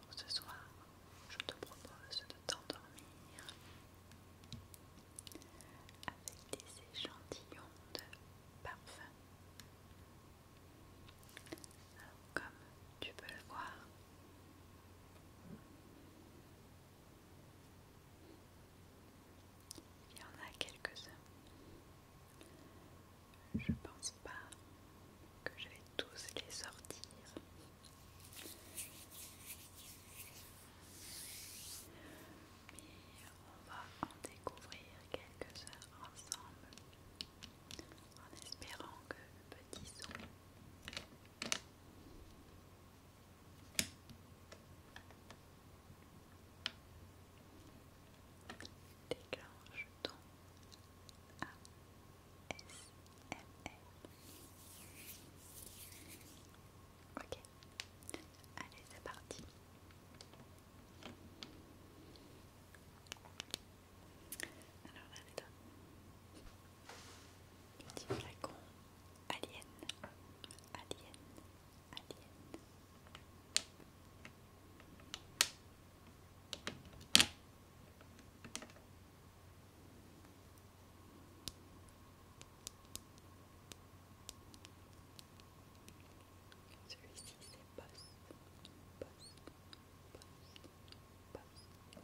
Alors ce soir, je te propose de t'endormir avec des échantillons de parfum comme tu peux le voir, il y en a quelques-uns. Je pense pas que je vais tous les sortir. Mais on va en découvrir quelques-uns ensemble en espérant que le petit son déclenche ton ASMR. Ok, allez, c'est parti. Alors là, c'est un petit flacon alien, alien, alien. Celui-ci c'est boss, boss, boss, celui-ci sent très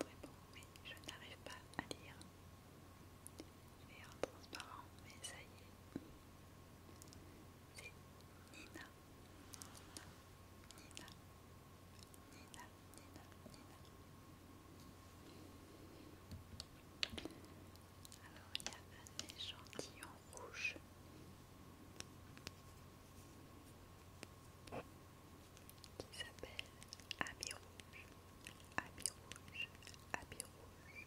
bon, mais je n'arrive pas à lire. Il est en transparent, mais ça y est. Nina. Nina. Nina. Nina. Nina. Alors il y a un échantillon rouge. Qui s'appelle Habit Rouge, Habit Rouge, Habit Rouge,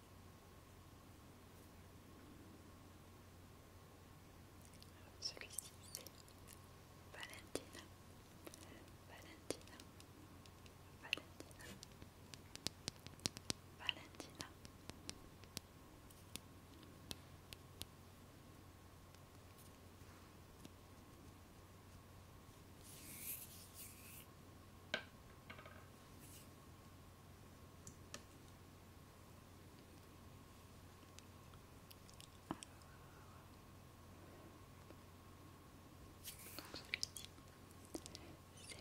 Celui-ci, c'est Valentina. Valentina. Valentina. Valentina. Donc celui-ci, c'est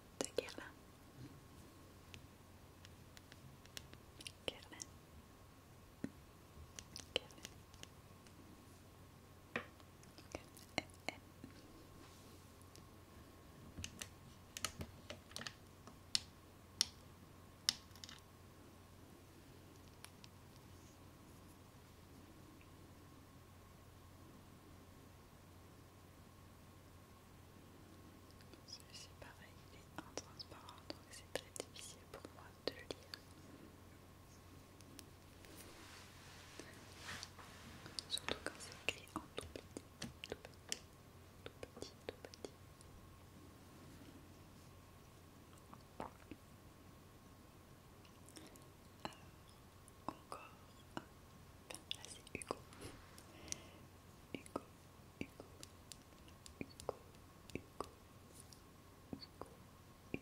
de Guerlain. Guerlain. C'est pareil, il est intransparent donc c'est très difficile pour moi de le lire. Surtout quand c'est écrit en tout petit, tout petit, tout petit, tout petit. Alors, encore un. Enfin, là c'est Hugo. Hugo, Hugo, Hugo, Hugo, Hugo, alors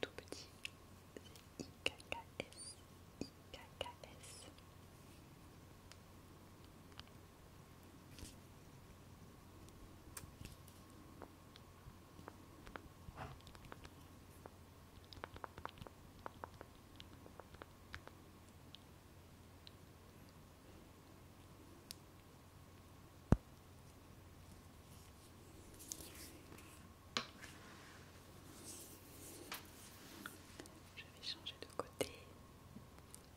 tout petit, je vais changer de côté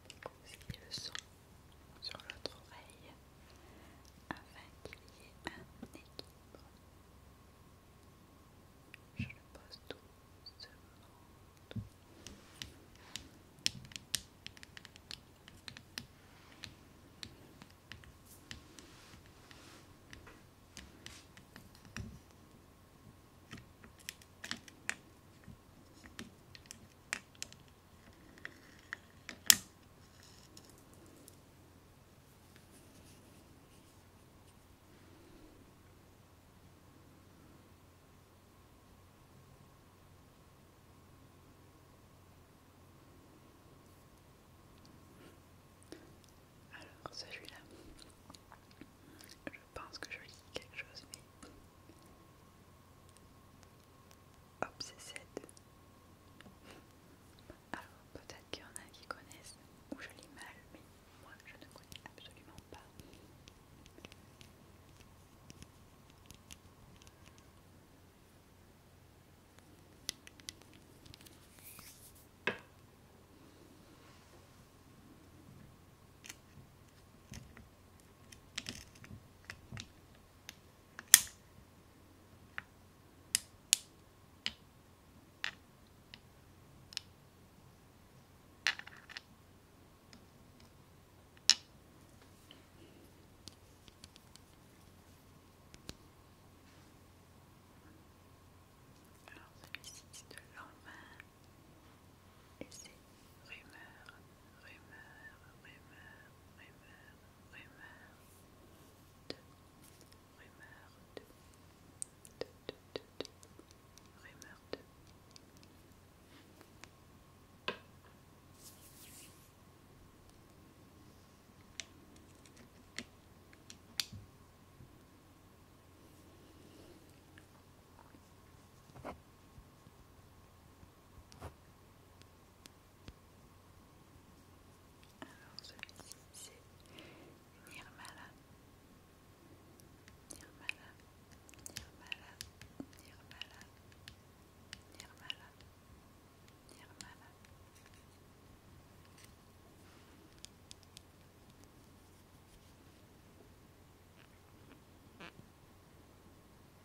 qui le son sur l'autre oreille afin qu'il y ait un équilibre. Je le pose doucement. Tout. Alors ça celui-là, je pense que je lis quelque chose, mais Hop, Alors, peut-être qu'il y en a qui connaissent, ou je lis mal, mais moi je ne connais absolument pas. Alors celui-ci c'est de l'homme et c'est rumeur rumeur, rumeur, alors celui-ci c'est Nirmala. Nirmala, Nirmala, Nirmala, Nirmala, Nirmala.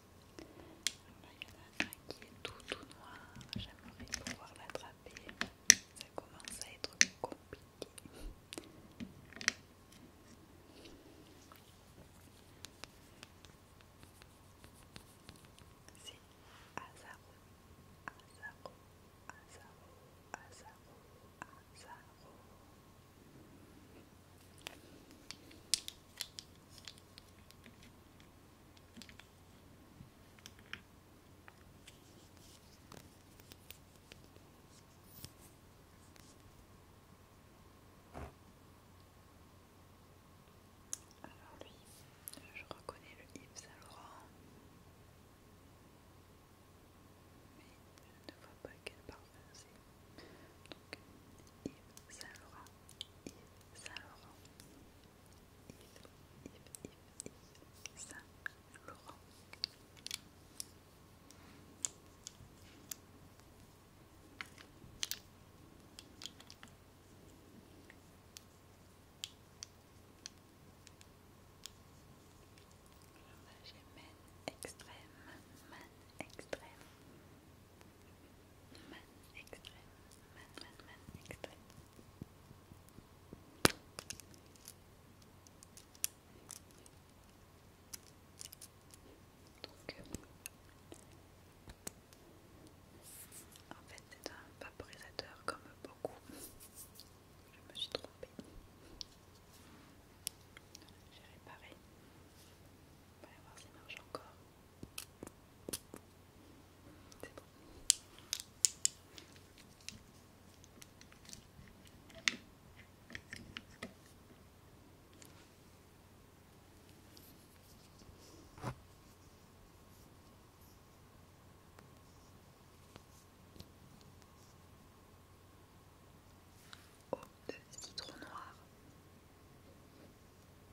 Là, il y en a un qui est tout tout noir, j'aimerais pouvoir l'attraper, ça commence à être compliqué. C'est Azaro, Azaro, Azaro, Azaro, Azaro. Alors lui, je reconnais le Yves Saint Laurent, mais je ne vois pas quel parfum c'est. Donc Yves Saint Laurent. Yves Saint Laurent. Yves, Yves, Yves, Yves Saint Laurent. Alors là j'ai men extrême, man extrême, Man extrait, man, Donc, en fait, c'est un vaporisateur comme beaucoup. Je me suis trompée. J'ai réparé. On va voir ça marche encore de citron noir. J'ai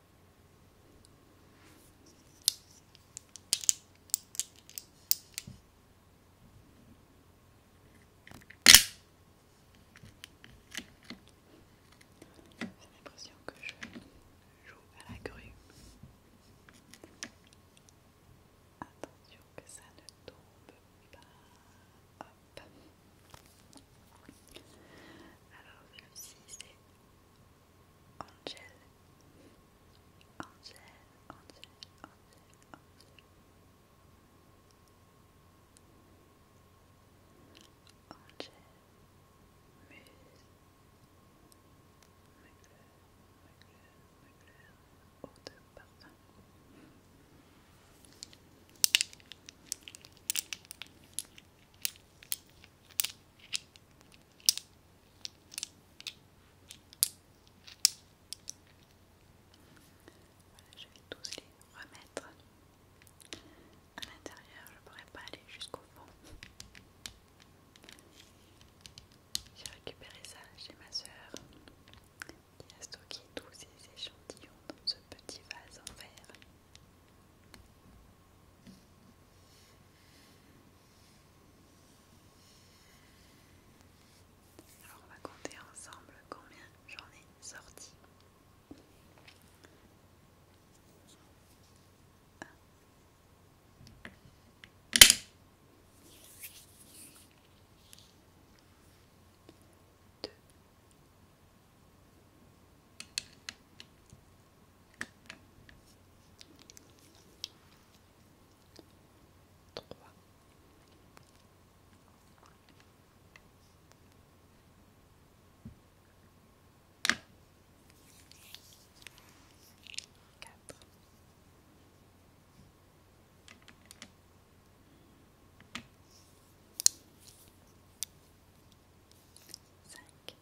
l'impression que je joue à la grue. Attention que ça ne tombe pas. Hop. Alors Angel, Angel, Angel, Angel, Angel, Muse, de parfum je vais tous les remettre à l'intérieur, je ne pourrais pas aller jusqu'au fond. J'ai récupéré ça chez ma soeur qui a stocké tous ses échantillons dans ce petit vase en verre. Alors on va compter ensemble combien j'en ai sorti. Trois. Quatre. Cinq.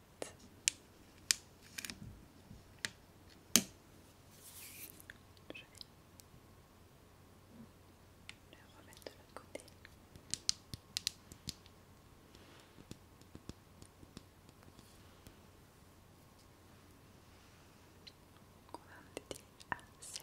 Je vais le remettre de l'autre côté. On va en à 7.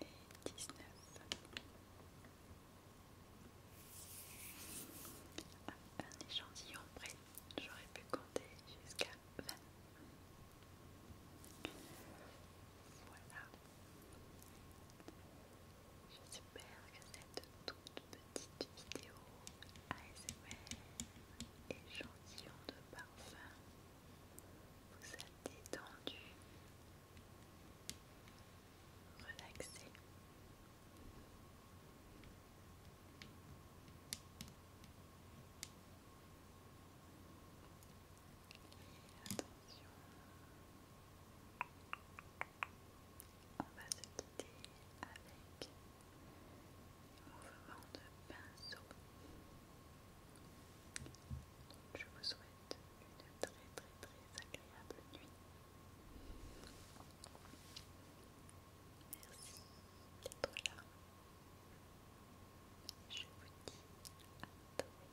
et 19. un échantillon près, j'aurais pu compter jusqu'à 20. Voilà. J'espère que cette toute petite vidéo ASMR échantillon de parfum vous êtes détendu, relaxé. Et attention, on va se quitter avec le mouvement de pinceau. je vous souhaite souhaite une très très très agréable nuit. Merci d'être là. Je vous dis à très bientôt.